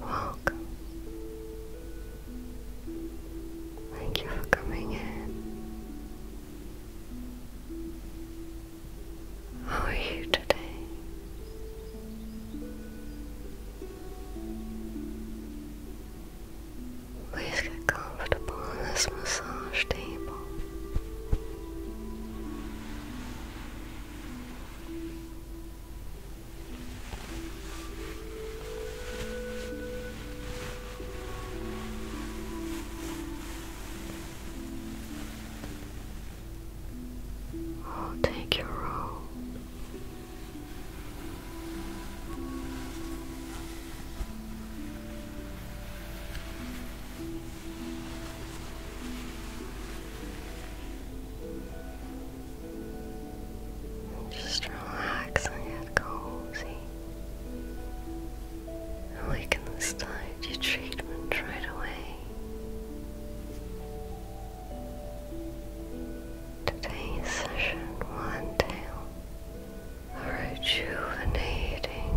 Welcome. Thank you for coming in. How are you today? Please get comfortable on this massage table. I'll take your robe. Just relax and get cozy. we can start your treatment right away. Today's session will entail rejuvenating,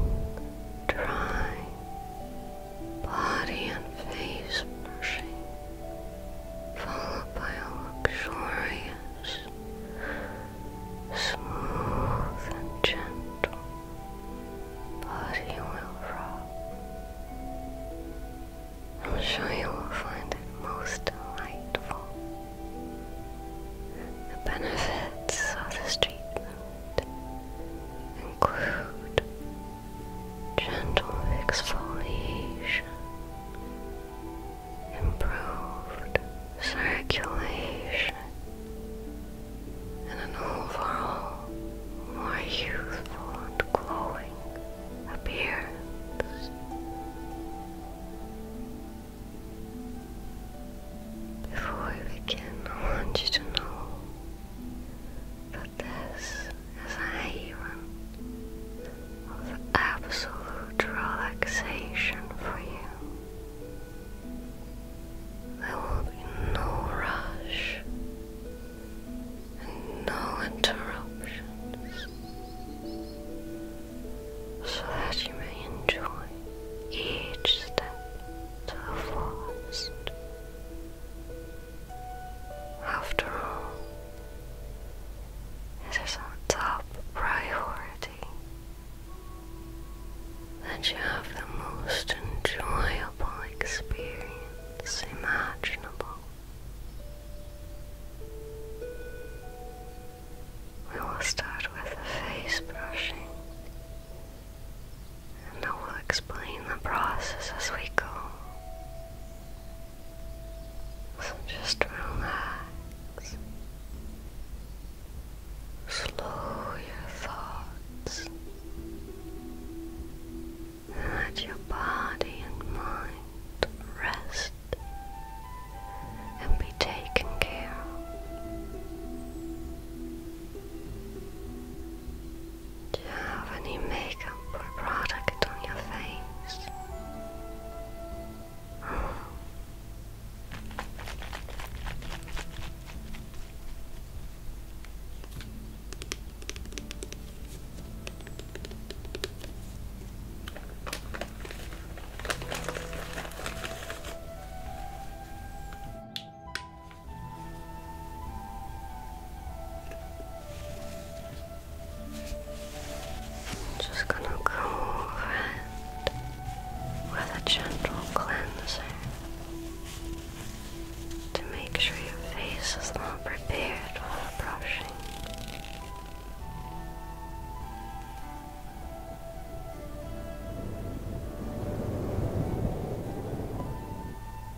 dry, body and face brushing, followed by a luxurious, smooth and gentle body oil rub. I'm sure you will find it most delightful. The benefits of the treatment include gentle exfoliation, improved circulation, and an overall more youthful and glowing appearance. Before we begin, I want you to know that this is a haven of absolute relaxation for you. There will be no rush and no interruptions so that you may enjoy each step to the forest. After all, it is our top priority that you have the most enjoyable experience imaginable. We will start with the face brushing and I will explain the process as we go. So just relax. Slow your thoughts. let your body and mind rest and be taken care do you have any makeup or product on your face? Just gonna go over with a gentle cleanser to make sure your face is not prepared for brushing.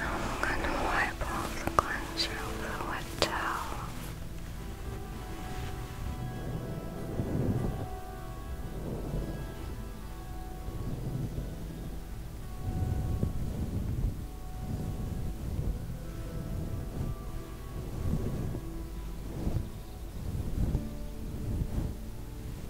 I'm gonna wipe off the cleanser with the wet towel.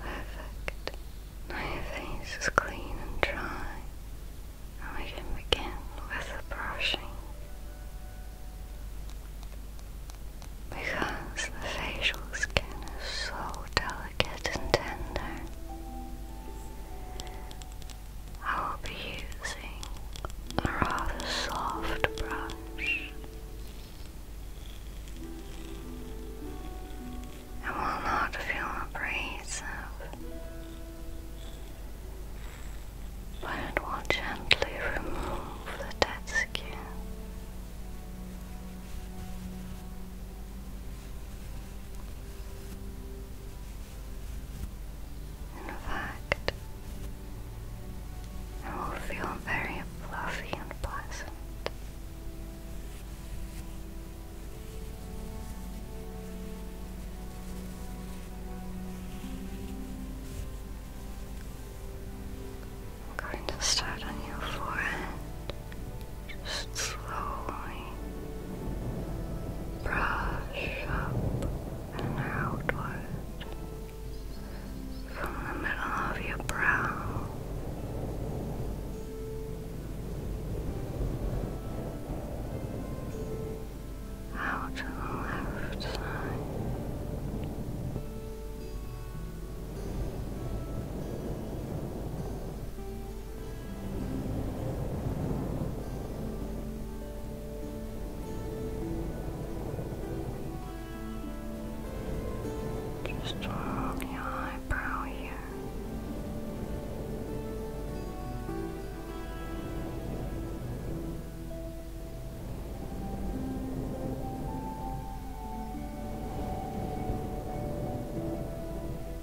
Perfect. Now your face is clean and dry. And we can begin with the brushing. Because the facial skin is so delicate and tender, I will be using a rather soft brush. It will not feel abrasive, but it will gently remove the dead skin. In fact, it will feel very fluffy and pleasant. I'm going to start on your forehead. Just slowly brush up and outward from the middle of your brow. Out to the left side. Just draw your eyebrow here.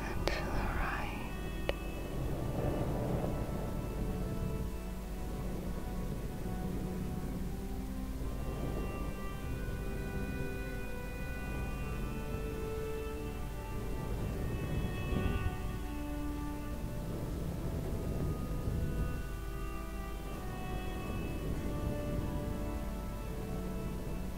and to the right.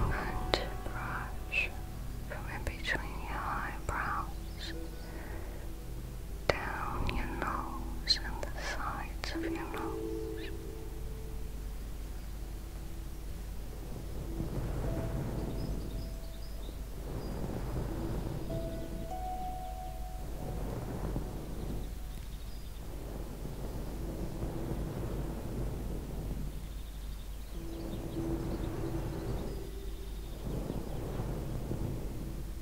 And brush from in between your eyebrows down your nose and the sides of your nose.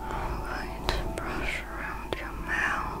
I to brush around your mouth.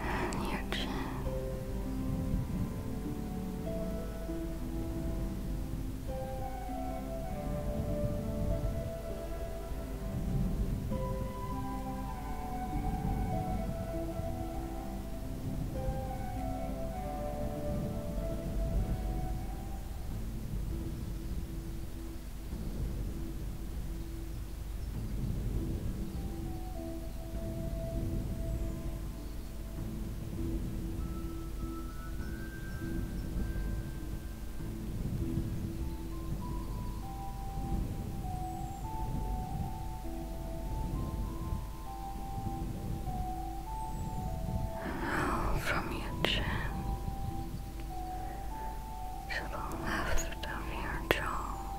and your chin. Now from your chin to the left of your jaw.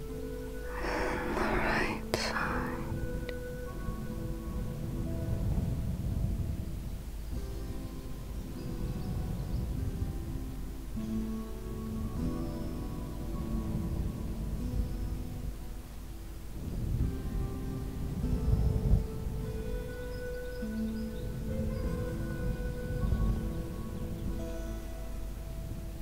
and right side.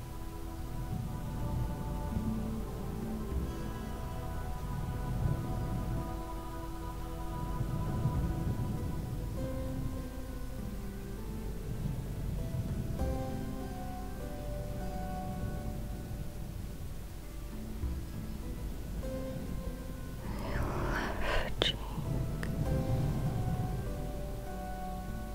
Your left cheek,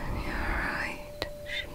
And your right cheek.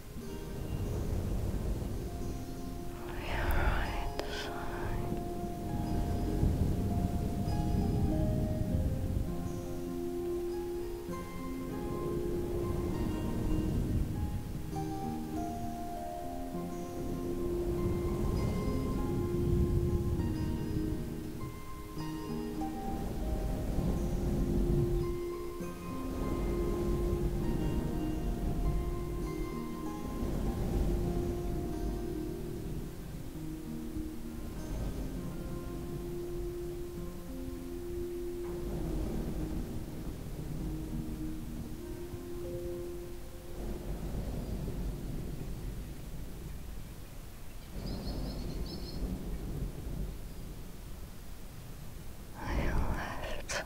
your right side. Your left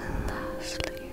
and lastly your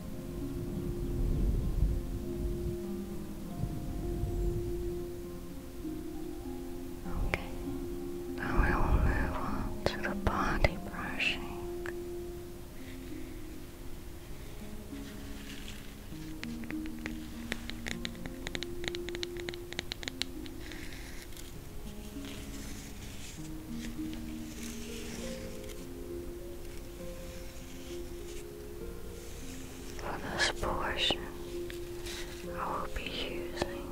Okay, now we will move on to the body brushing. For this portion, I will be using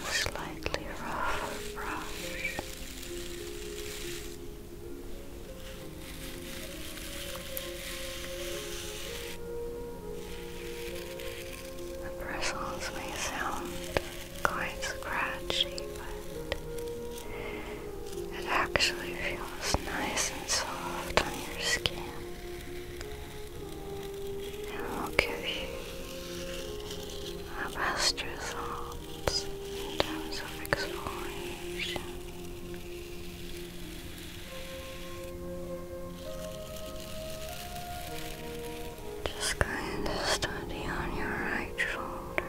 a slightly rough brush. The bristles may sound quite scratchy, but it actually feels nice and soft on your skin. And will give you the best results in terms of exfoliation. Just kind of study on your right shoulder.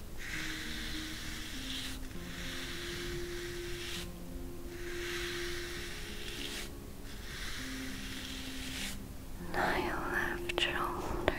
Now your left shoulder.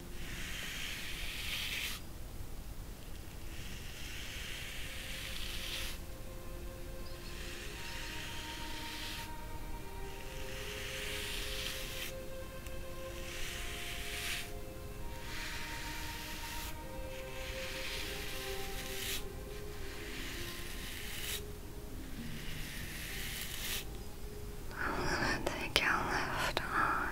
I'm gonna take your left arm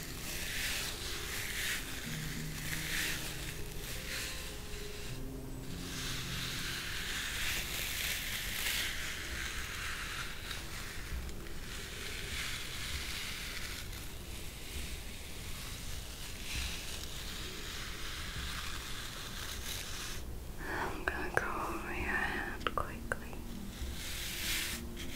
I'm going to go over your head quickly. Okay.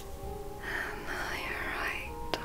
And now your right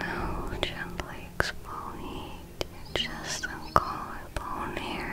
Now gently exfoliate your chest collarbone area.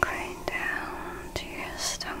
Going down to your stomach.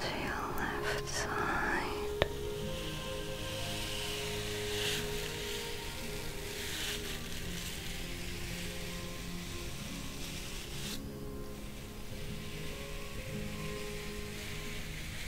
to your left side.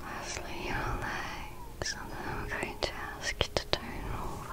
Lastly, your legs, I'm going to ask you to turn over.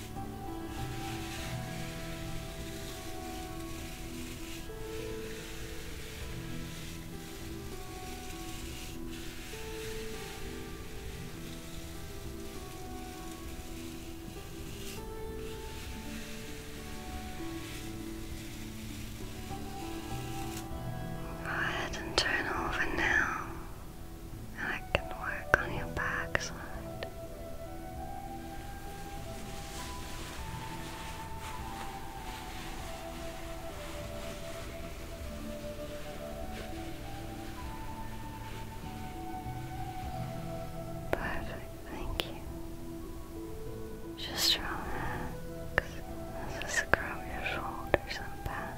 Go ahead and turn over now, I can work on your backside it. thank you. Just relax as I scrub your shoulders and back.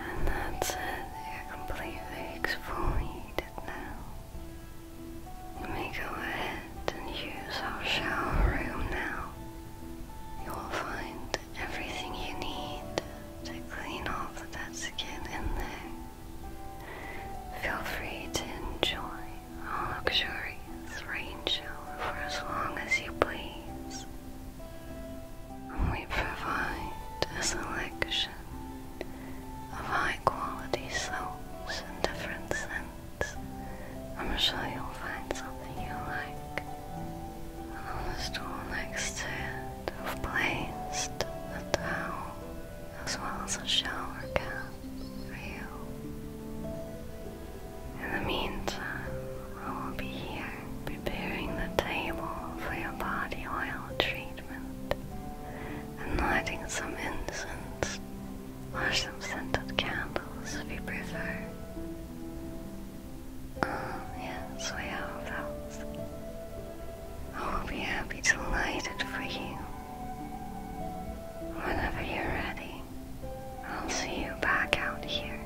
And that's it, you're completely exfoliated needed now. go ahead and use our shower room now. You will find everything you need to clean off dead skin in there. Feel free to enjoy our luxurious rain shower for as long as you please. we provide a selection of high quality soaps and different scents. I'm sure you'll find something you like. on the stool next to it, I've placed a towel as well as a shower cap for you. In the meantime, I will be here preparing the table for your body oil treatment and lighting some incense or some scented candles if you prefer. Oh, yes, we have those. I will be happy to light it for you. Whenever you're ready, I'll see you back out here.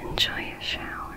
Enjoy your shower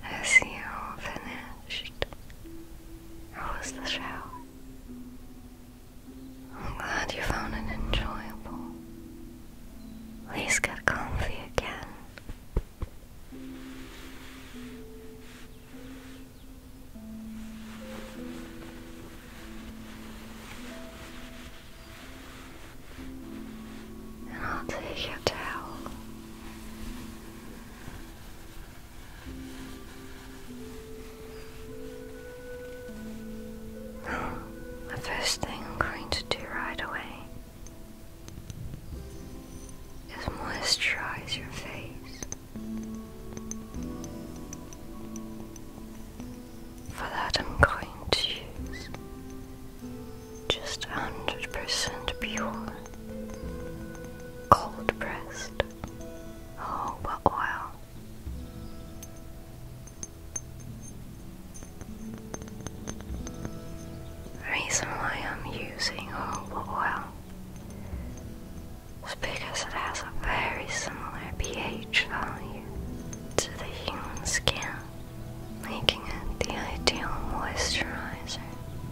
Has you finished? How was the show? I'm glad you found it enjoyable. Please get comfy again. And I'll take your towel. The first thing I'm going to do right away is moisturize your face. For that, I'm going to use just 100% pure cold pressed Oh, oil? Reason why I'm using jojoba oil is because it has a very similar pH value to the human skin, making it the ideal moisturizer.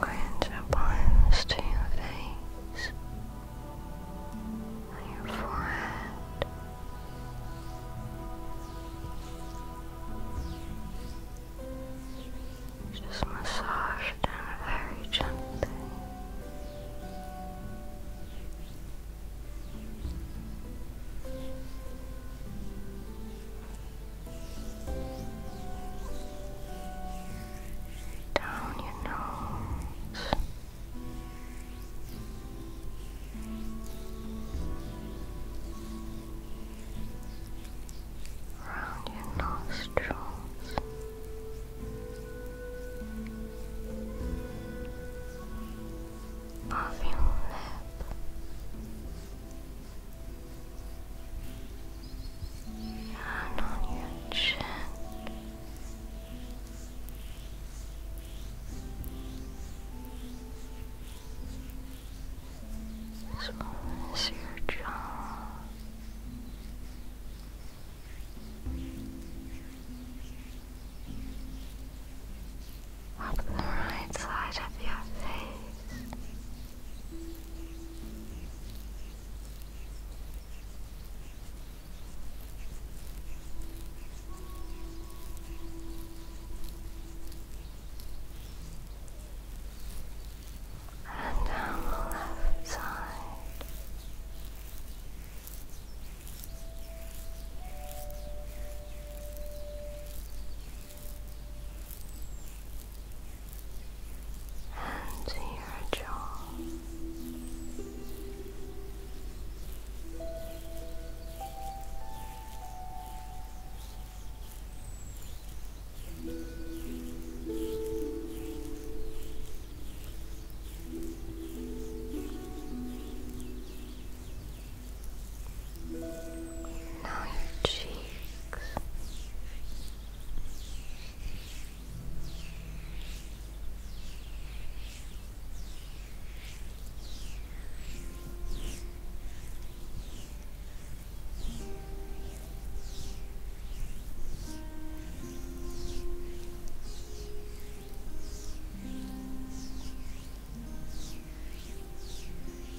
Cringe applies to your face your forehead. Just massage down very gently down your nose. Around your nostrils, off your lip, and on your chin. As your jaw. Up the right side of your face. And down the left side and to your jaw. Now your cheeks.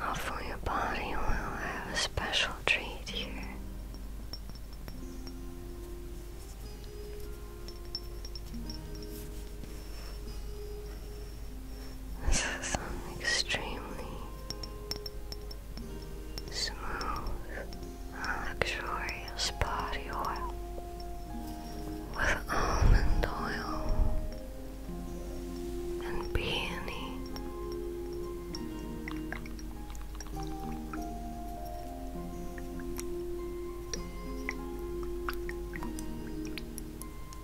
Well, for your body oil, I have a special treat here. This is an extremely smooth luxurious body oil with almond oil and peony. We're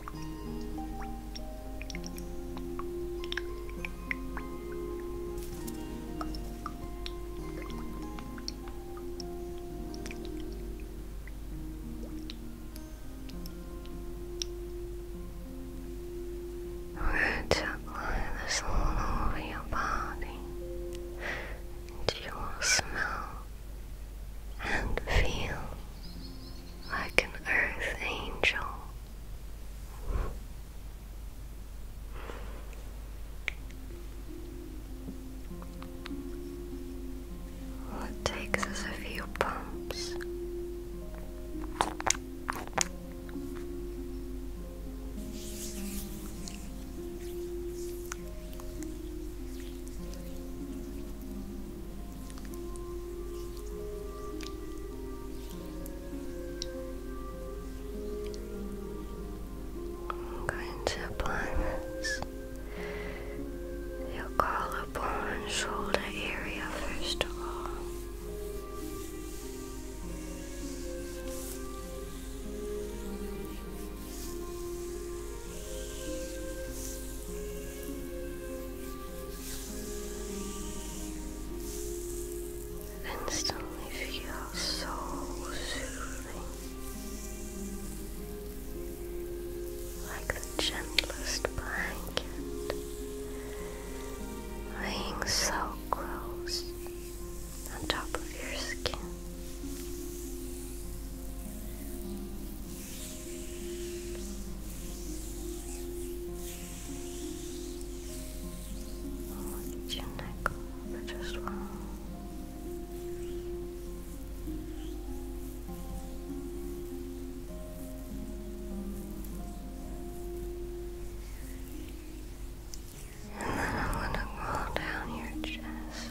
to this all over your body, and you will smell and feel like an earth angel it takes is a few pumps. I'm going to apply this your collarbone shoulder area first of all and feel so soothing, like the gentlest blanket, laying so close on top of your skin. Hold your neck over as And then I want to roll down your chest.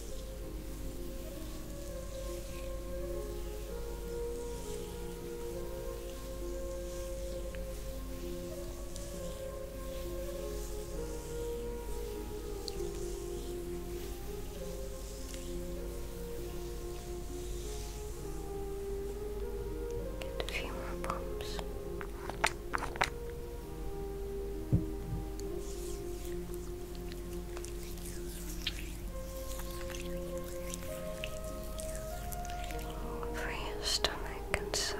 Get a few more bumps. Good. Free your stomach and sides.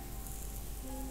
Your hand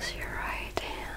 Use your right hand.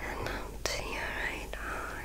and up to your right arm.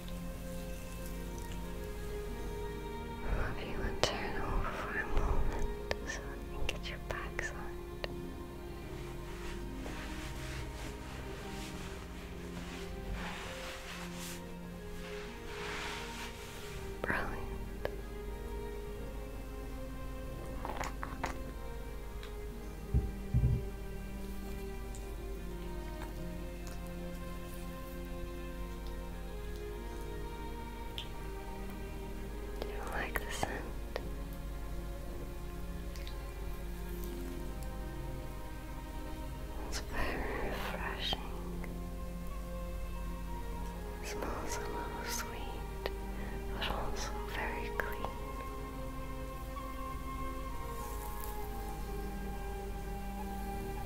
I If you would turn over for a moment so I can get your backside. Brilliant. Do you like the scent? It's very refreshing. smells a little sweet, but also very clean.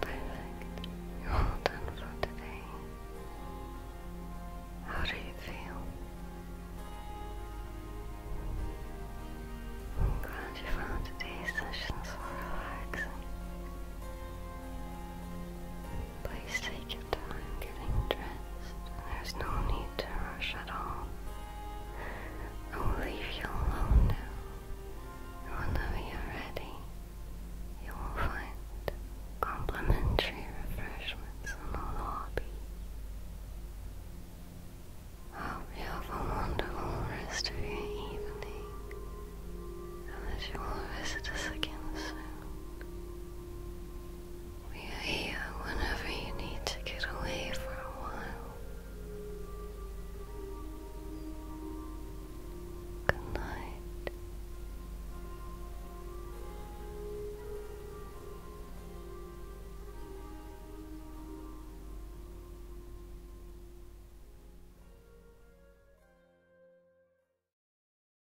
Perfect. You're all done for today. How do you feel? glad you found today's session so relaxing. Please take your time getting dressed. There's no need to rush at all. I will leave you alone now. Whenever you're ready, you will find complimentary refreshments in the lobby. hope you have a wonderful rest of your evening and that you will visit us again soon. We are here whenever you need to get away for a while. Good night.